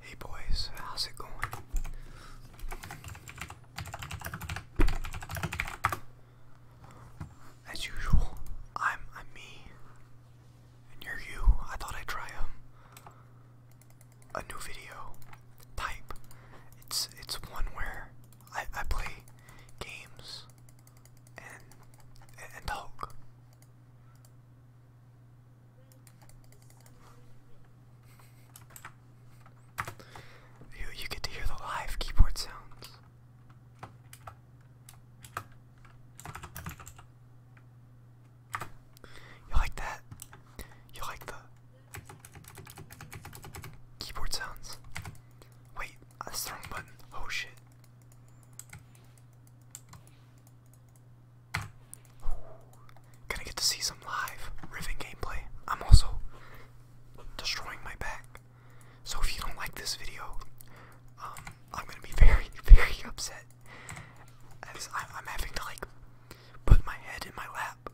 Hey boys, how's it going? As usual, I'm I'm me, and you're you. I thought I'd try um a new video type. It's it's one where I I play games and, and talk. You, you get to hear the live keyboard sounds. You like that? You like the keyboard sounds? Wait, that's the wrong button. Oh shit. Gonna get to see some live Riven gameplay. I'm also destroying my back. So if you don't like this video, um, I'm gonna be very, very upset. As I'm having to like put my head in my lap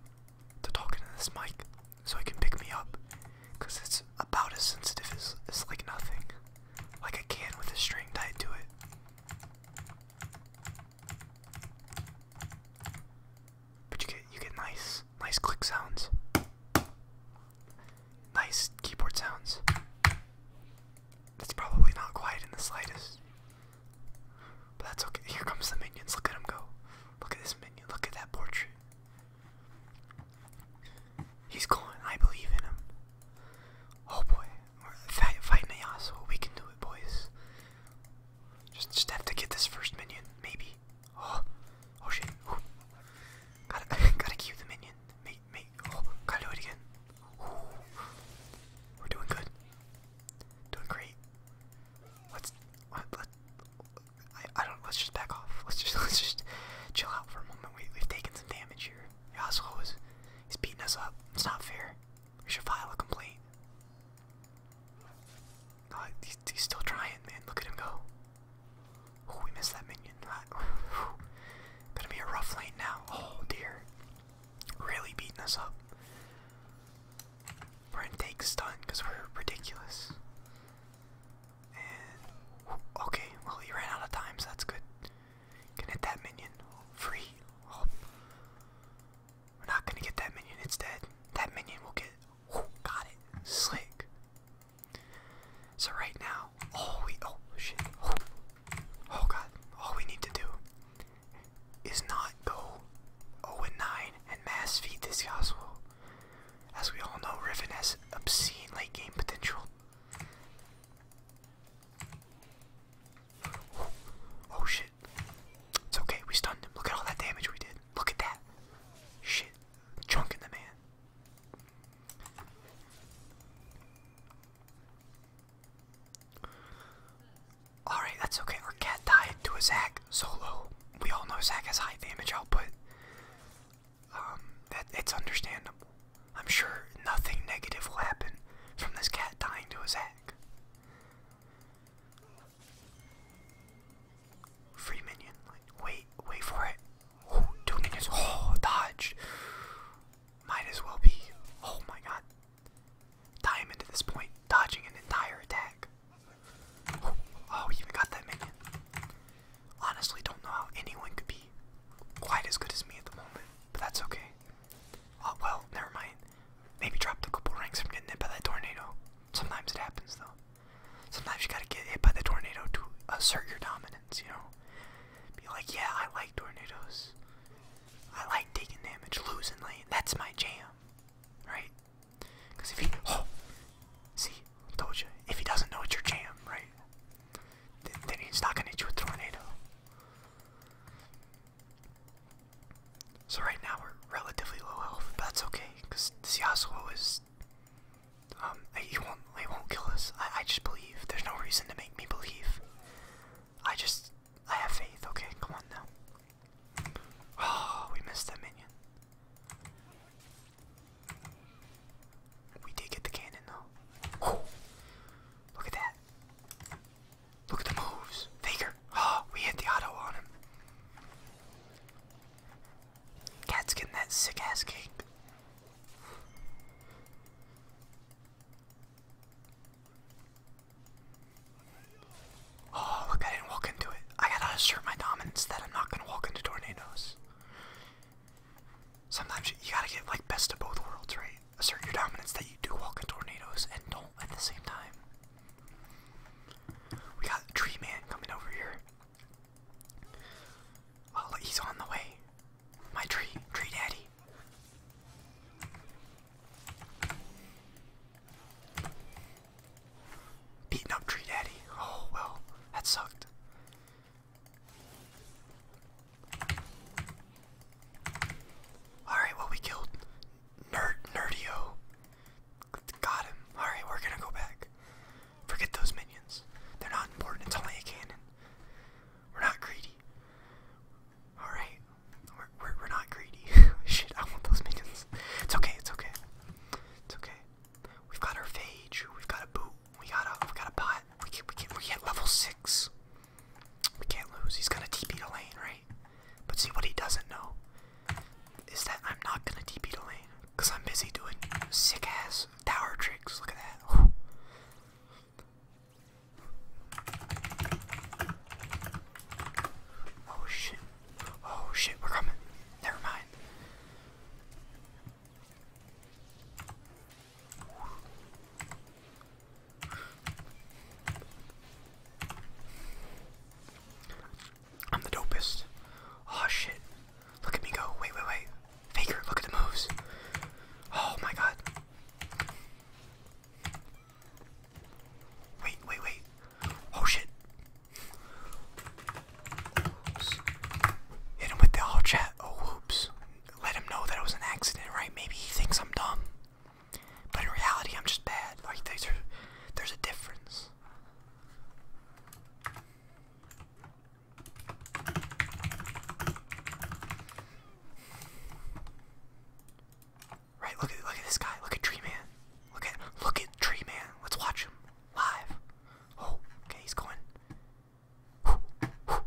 to talk into this mic so it can pick me up. it's about as sensitive as like nothing. Like a can with a string tied to it. But you get you get nice nice click sounds. Nice keyboard sounds. That's probably not quiet in the slightest. But that's okay. Here comes the minions. Look at him go. Look at this minion. Look at that portrait. He's going. I believe in him. Oh boy. Fight, fight Nayasu. We can do it, boys. Just, just have to get this first minion, maybe. Oh, oh shit. Gotta, gotta cue the minion. Mate, mate. Oh, gotta do it again. We're doing good. Doing great. Let's, let, let, I, I don't, let's just back off. Let's just, let's just chill out for a moment. we've taken some damage here. Yasuo is he's beating us up. It's not fair. We should file a complaint. he's, still trying, man. Look at him go. Oh, we missed that minion. Gonna be a rough lane now. Oh dear. Really beating us up. We're in take stun because we're ridiculous. And okay, well he ran out of time, so that's good. Can hit that minion. Free. Oh. We're not gonna get that minion. It's dead. That minion will get. Oh, got it. Slick. So right now, all we oh shit. Oh. oh god. All we need to do is not go 0 and 9 and mass feed this gospel. As we all know, Riven has obscene late game potential. Oh shit. It's okay, we stunned him. Look at all that damage we did. Look at that. Shit. Chunking the man. Alright, that's okay. Our cat died to a Zac solo. We all know Zac has high damage output. Um, that it's understandable. I'm sure nothing negative will happen from this cat dying to his egg. Free minion. wait, wait for it. Oh, two minions. Oh, dodge. Might as well be. Oh my god. Diamond at this point, dodging an entire attack. Oh, oh, got that minion. Honestly, don't know how anyone could be quite as good as me at the moment, but that's okay. Oh, well, never mind. Maybe dropped a couple ranks from getting hit by that tornado. Sometimes it happens, though. Sometimes you gotta get hit by the tornado to assert your dominance, you know? Be like, yeah, I like tornadoes. I like taking damage, losing lane. That's my jam, right? Because if he. Oh! See, told you. If he doesn't know it's your jam, right? Then, he's not gonna hit you with tornado. So right now we're relatively low health, but that's okay, because Siasuo is um eh, he won't he won't kill us. I I just believe. There's no reason to make me believe. I just I have faith, okay, come on now. Oh, we missed that minion. We did get the cannon though. Oh, look at that. Look at the moves. Faker. Oh, we hit the auto on him. Cat's getting that sick ass kick. Oh, look, I didn't walk into it. I gotta assure my dominance that I'm not gonna walk into tornadoes. Sometimes you gotta get like best of both worlds, right? assert your dominance that you do walk in tornadoes and don't at the same time. We got Tree Man coming over here. Oh, he's on the way. My tree, Tree Daddy. Beating up Tree Daddy. Oh, well, that sucked. Alright, well, we killed Nerd Nerdio. Got him. Alright, we're gonna go back. Forget those minions. They're not important. It's only a cannon. We're not greedy. Alright. We're, we're, not greedy. Shit, I want those minions. It's okay, it's okay. It's okay. We've got our phage. We've got a boot. We got a, we got a pot. We can. we get, we get level 6. We can't lose. He's gonna TP to lane, right? But see what he doesn't know is that I'm not gonna TP to lane because I'm busy doing sick ass tower tricks. Look at that. Oh shit. Oh shit, we're coming. Never mind. I'm the dopest. Oh shit. Look at me go. Wait, wait, wait. Faker, look at the moves. Oh my god. Wait, wait, wait. Oh shit. Hit him with the all chat. Oh whoops let him know that it was an accident, right? Maybe he thinks I'm dumb. But in reality, I'm just bad. Like, there's a, there's a difference. Right, look at look at this guy. Look at Tree Man. Look at look at Tree Man. Let's watch him live. Oh, okay, he's going. Alright.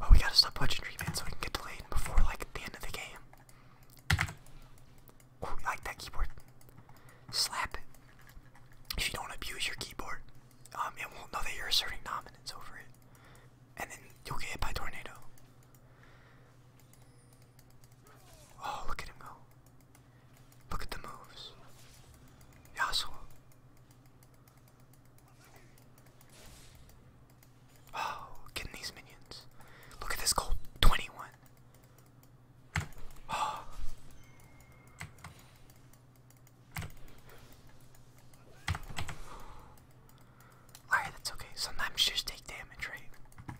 Well, we gotta stop watching treatment so we can get delayed before, like, the end of the game. like that keyboard? Slap it. If you don't abuse your keyboard, um, it won't know that you're asserting dominance over it. And then you'll get hit by tornado. Oh, look at him go. Look at the moves. Yasuo. Oh, getting these minions. Look at this gold 21. Oh. Alright, that's okay. Sometimes you just take damage, right?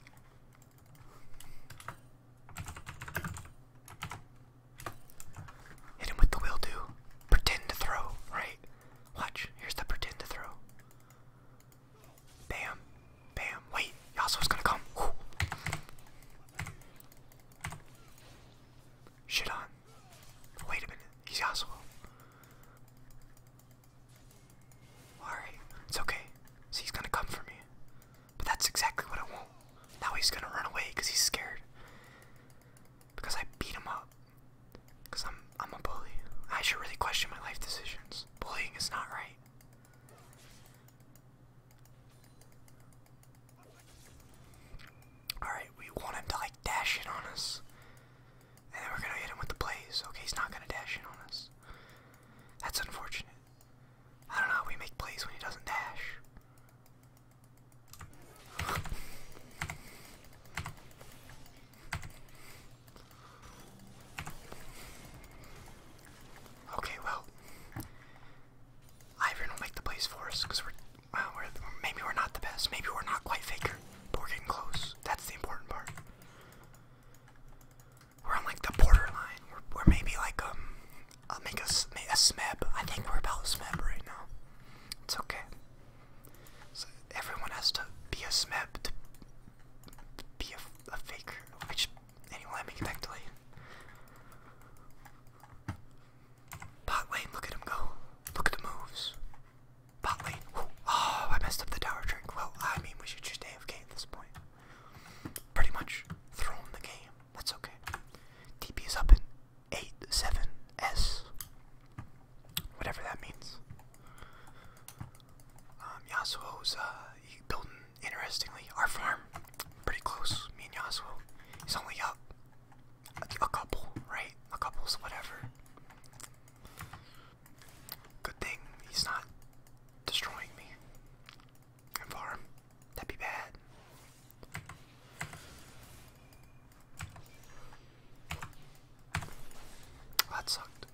Hit him with the will do. Pretend to throw, right? Watch, here's the pretend to throw. Bam, bam, wait, Yasuo's gonna come. Ooh. Shit on. Wait a minute, he's Yasuo. Alright, it's okay. So he's gonna come for me. But that's exactly what I want. Now he's gonna run away because he's scared. Because I beat him up. Because I'm, I'm a bully. I should really question my life decisions. Bullying is not right. Alright, we want him to like dash in on us. And then we're gonna hit him with the blaze. Okay, he's not gonna dash in on us. That's unfortunate. I don't know how we make plays when he doesn't dash. Okay, well, Ivan will make the plays for us because we're, well, maybe we're not the best. Maybe we're not quite faker, but we're getting close. That's the important part. We're on like the borderline. We're, maybe like um, I'll make a, a smeb. I think we're about smeb right now. It's okay. So everyone has to be a smeb to be a, a faker. Which anyone let me connect lane. Bot lane, look at him go. Look at the moves. Bot lane. Oh, I messed up the tower drink. Well, I mean, we should just AFK at this point pretty much thrown the game. That's okay. DP is up in 8-7-S. Whatever that means. Um, Yasuo's, uh, building, interestingly, our farm. Pretty close, me and Yasuo. He's only up a, couple, right? A couple's whatever. Good thing he's not destroying me. farm. That'd be bad. That sucked.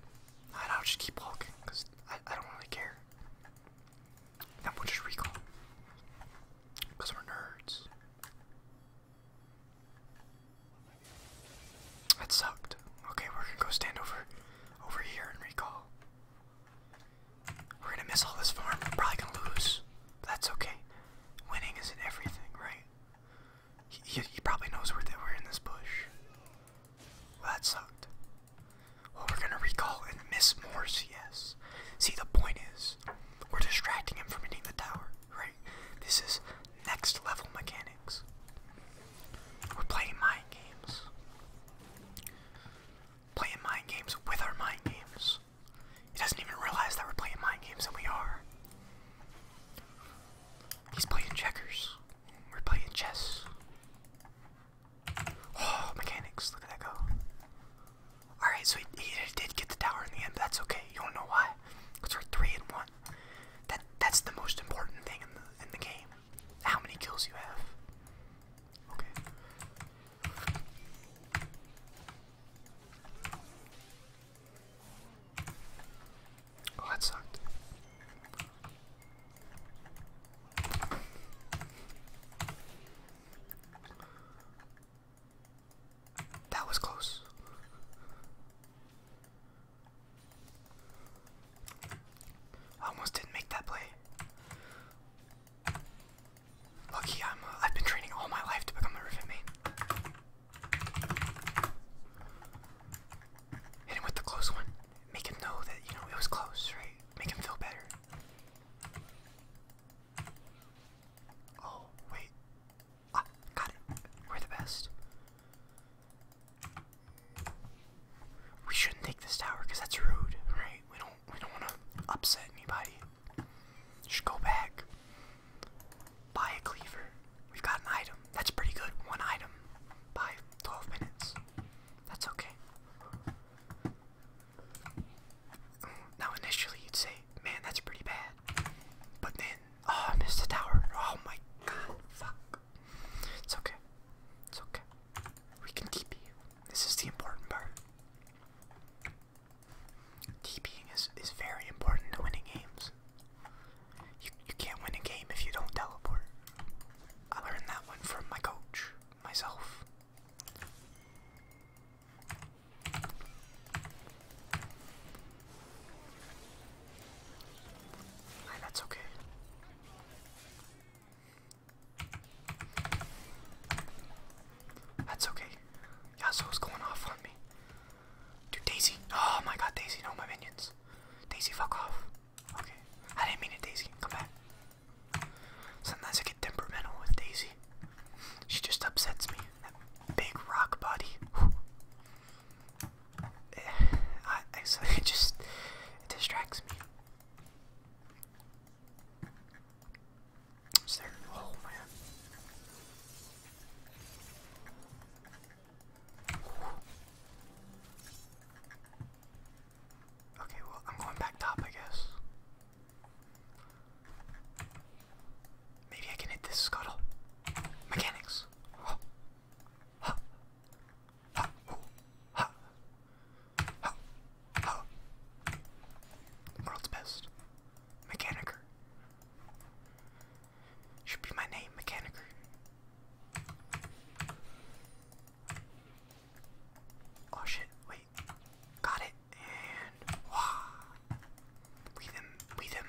And I'll just keep walking, because I, don't really care. And we'll just recall. Because we're nerds. That sucked. Okay, we're gonna go stand over over here and recall. We're gonna miss all this farm. We're probably gonna lose. that's okay. Winning isn't everything, right? He, probably knows where they we're in this bush. that sucked. Well, we're gonna recall and miss more Yes. See, the point is, we're distracting him from hitting the tower, right? This is next level mechanics. We're playing mind games. Playing mind games with our mind games. He doesn't even realize that we're playing mind games, and we are. He's playing checkers. We're playing chess. Oh, mechanics, look at that go. Alright, so he, did get the tower in the end, but that's okay. You don't know why. Because we're 3 and 1. That That's the most important thing in the game. How many kills you have? Okay. Oh, that sucked. That was close. I almost didn't make that play. Lucky I'm. Uh, I've been training all my life to become a rivet Hit him with the close one. Make him know that you know it was close, right? Make him feel better. Oh wait, ah, got it. We're the best. We shouldn't take this tower because that's rude, right? We don't we don't want to upset anybody. Just go back. Buy a cleaver. We've got an item. That's pretty good. One item by 12 minutes. That's okay. Now initially you'd say, man, that's pretty bad. But then, oh, I missed the tower. Oh my god, fuck. It's okay. It's okay. We can TP. This is the important part. TPing is, is very important to winning games. You, you can't win a game if you don't teleport. I learned that one from my coach, myself. And that's okay. That's okay. Yasuo's going off on me. Dude, Daisy. Oh my god, Daisy, no, my minions. Daisy, fuck off. Okay. I didn't mean it, Daisy. Come back. Sometimes I get temperamental with Daisy. She just upsets me. That big rock body. Whew. it just distracts me. Is there? Oh man. Okay, well I'm going back top, I guess. Maybe I can hit this scuttle. Mechanics. Oh. World's best. Mechanicer. Should be my name, Mechanicer. Oh shit, wait. Got it. And wah. Weave him, weave him,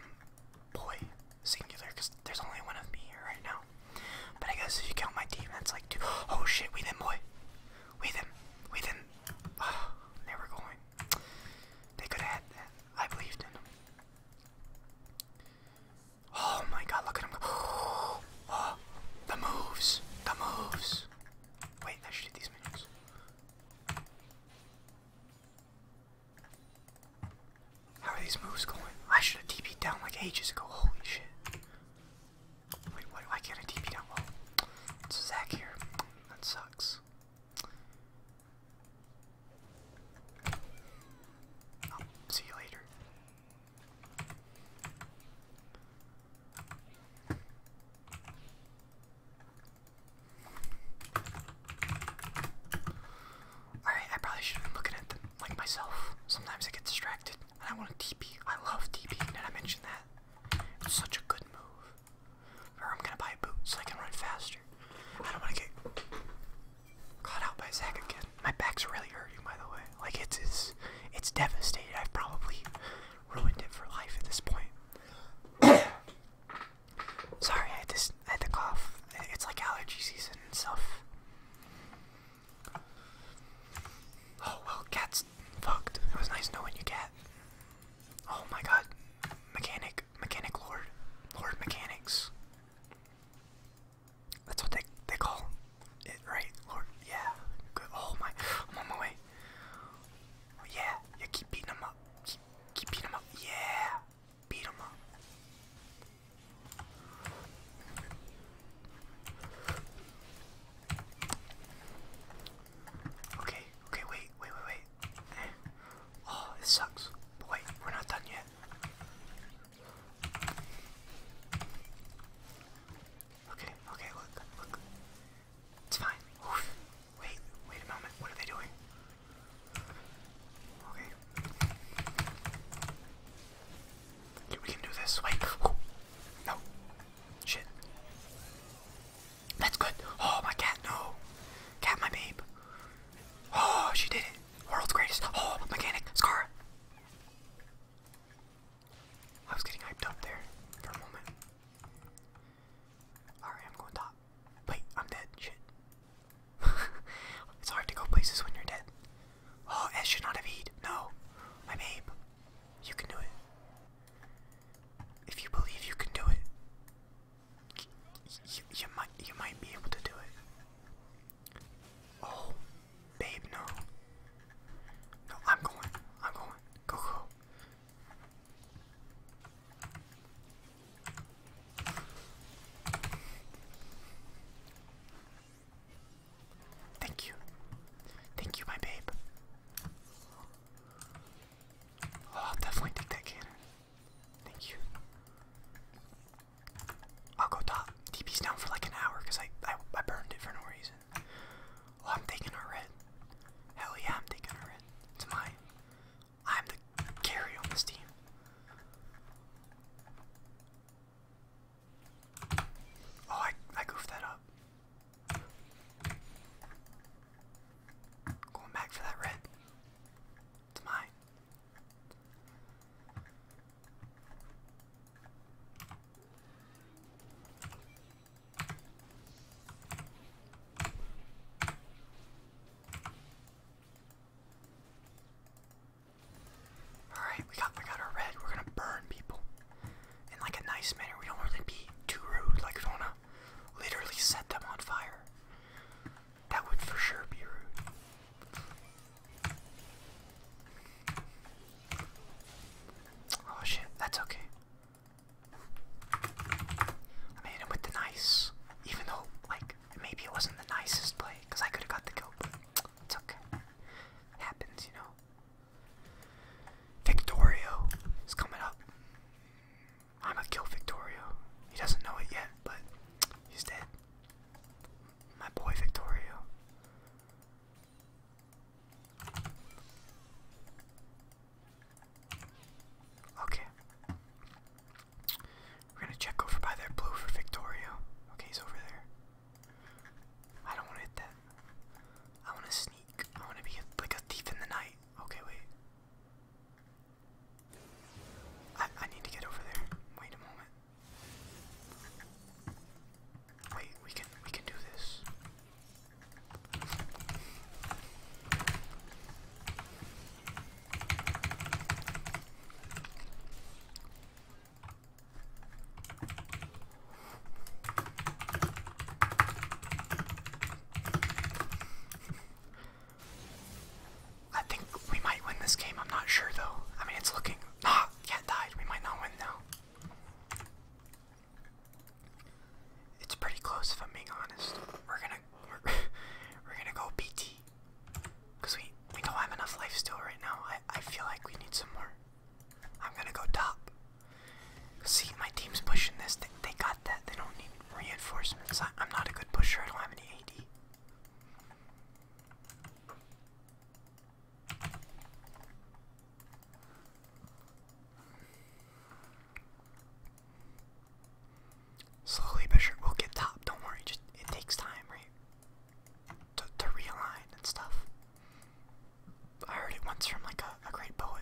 boy singular because there's only one of me here right now. But I guess if you count my team, that's like two. Oh shit, we them, boy. We them. We did. Oh, ah, they were going. They could have had that. I believed in them. Oh my god, look at them. go. Oh, the moves. The moves. Wait, I should hit these moves. How are these moves going? I should have TP'd down like ages ago. Holy shit. Wait, why, why can't I TP down? Well, it's Zach here. That sucks. see you later. Alright, I probably should have been looking at them like myself. Sometimes I get distracted and I want to TP. I love TP. Did I mention that? It's such a good move. Or I'm going to buy a boot so I can run faster. I don't want to get caught out by Zach again. My back's really hurting, by the way. Like, it's, it's, it's devastated. I've probably ruined it for life at this point. Sorry, I had to I had the cough. It's like allergy season and stuff. Oh well, cat's fucked. It was nice knowing you, cat. Oh my god, mechanic, mechanic lord, lord mechanics. That's what they they call it, right? Lord, yeah. Good. Oh my, I'm on my way. Yeah, yeah. Keep beating them up. Keep, keep beating him up. Yeah. Beat him up. Okay, okay, wait, wait, wait, wait. Eh. Oh, this sucks. But wait, we're not done yet. Okay, okay, look, look. It's fine. Wait, wait a moment. What are they doing? Okay. we can do this. Wait. No. Shit. That's good. Oh, my cat, no. Cat, my babe. Oh, she did it. World's greatest. Oh, mechanic. Scar. I was getting hyped up there for a moment. Alright, I'm going top. Wait, I'm dead. Shit. it's hard to go places when you're dead. Oh, S should not have eat. No. My babe. You can do it. If you believe you can do it, you, might, you might be able to do it. Oh, babe, no. No, I'm going. I'm going. Go, go. Thank you. Thank you, my babe. Oh, I'll definitely take that cannon. Thank you. I'll go top. DP's down for like an hour because I, I, burned it for no reason. Oh, I'm taking a red. Hell yeah, I'm taking a red. It's mine. I'm the carry on this team. Oh, I, I goofed that up. Going back for that red. It's mine. Alright, we got we got our red. We're gonna burn people. In like a nice manner. We don't really be too rude. Like we to literally set them on fire. That would for sure be rude. Oh shit, that's okay. I made him with the nice. Even though, like, Maybe it wasn't the nicest play, because I could have got the kill, it's okay. happens, you know. Victorio is coming up. I'm gonna kill Victorio. He doesn't know it yet, but he's dead. My boy Victorio. Okay. We're gonna check over by that blue for Victorio. Okay, he's over there. I don't wanna hit that. I wanna sneak. I wanna be a, like a thief in the night. Okay, wait. I, I need to get over there. Wait a moment. Wait, we can we can do this. I think we might win this game. I'm not sure though. I mean, it's looking. can't die. We might not win now. It's pretty close if I'm being honest. We're gonna we're, we're gonna go BT. Because we, we don't have enough life still right now. I, I feel like we need some more. I'm going to go top. See, my team's pushing this. They, they got that. They don't need reinforcements. I, I'm not a good pusher. I don't have any AD. Slowly but sure, we'll get top. Don't worry, just it takes time, right? To realign and stuff. I heard it once from like a, great poet.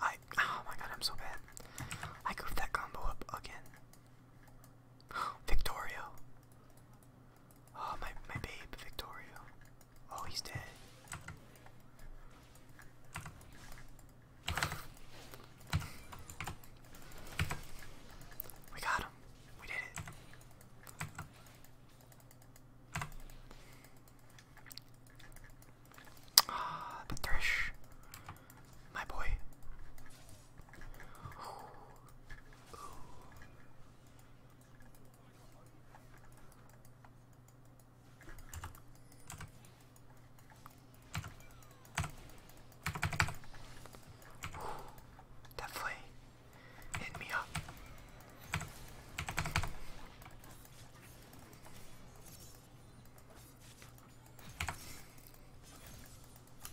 I oh my god, I'm so bad. I goofed that combo up again. Victorio. Oh my my babe, Victorio. Oh, he's dead. We got him. We did it. Ah, the thresh. My boy that flame hit me up.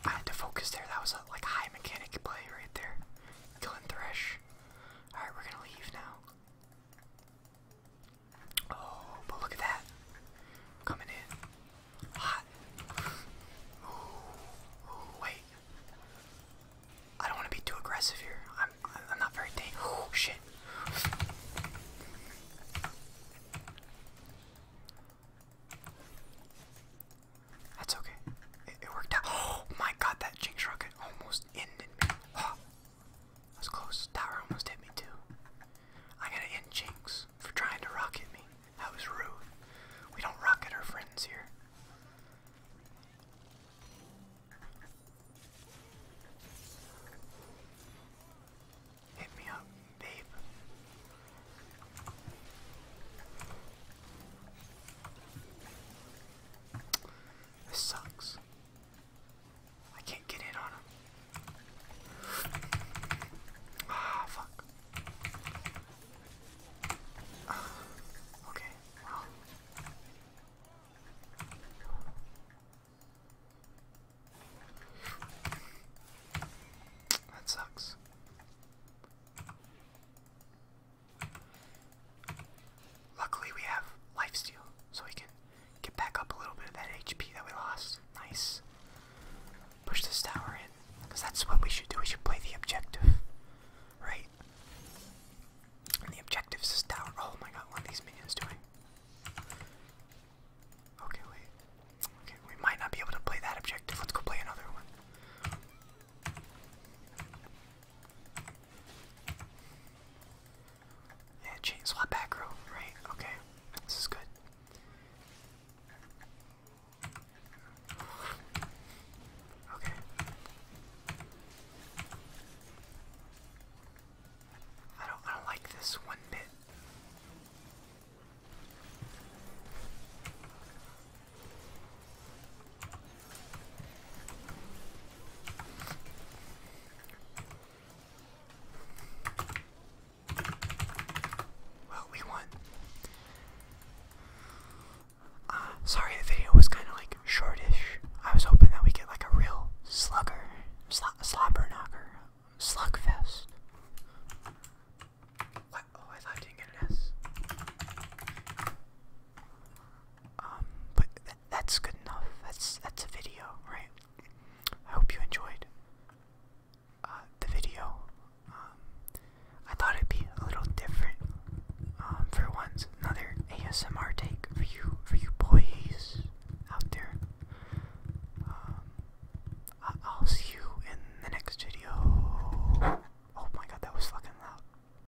I had to focus there. That was a like high mechanic play right there. Killing Thresh. Alright, we're gonna leave now. Oh, but look at that. Coming in. Hot. Ooh, wait. I don't want to be too aggressive here. I'm I'm not very dang. Oh, shit. That's okay. it worked out. Oh my god, that jinx rocket almost almost ended me. Oh, that was close. Tower almost hit me too. I gotta end Jinx for trying to rocket me. That was rude. We don't rocket our friends here. Hit me up, babe. This sucks. I can't get in on him. Ah, fuck. Ah, okay, well. That sucks. Luckily, we have lifesteal, so we can get back up a little bit of that HP that we lost. Nice. Push this tower in, because that's what we should do. We should play the objective, right? And the objective is this tower. Oh my god, what are these minions doing? Okay, wait. Okay, we might not be able to play that objective. Let's go play another one. Yeah, chain swap back row, right? Okay, this is good. Okay. I don't I don't like this one bit. Well, we won. Uh, sorry the video was kind of like shortish. I was hoping that we get like a real slugger, sl knocker, slugfest. What? Oh, I thought I didn't get an um, but that's good enough. That's that's a video, right? I hope you enjoyed uh, the video. Um, I thought it'd be a little different um, for once. Another ASMR take for you for you boys out there. I I'll see you in the next video. Oh my god, that was fucking loud.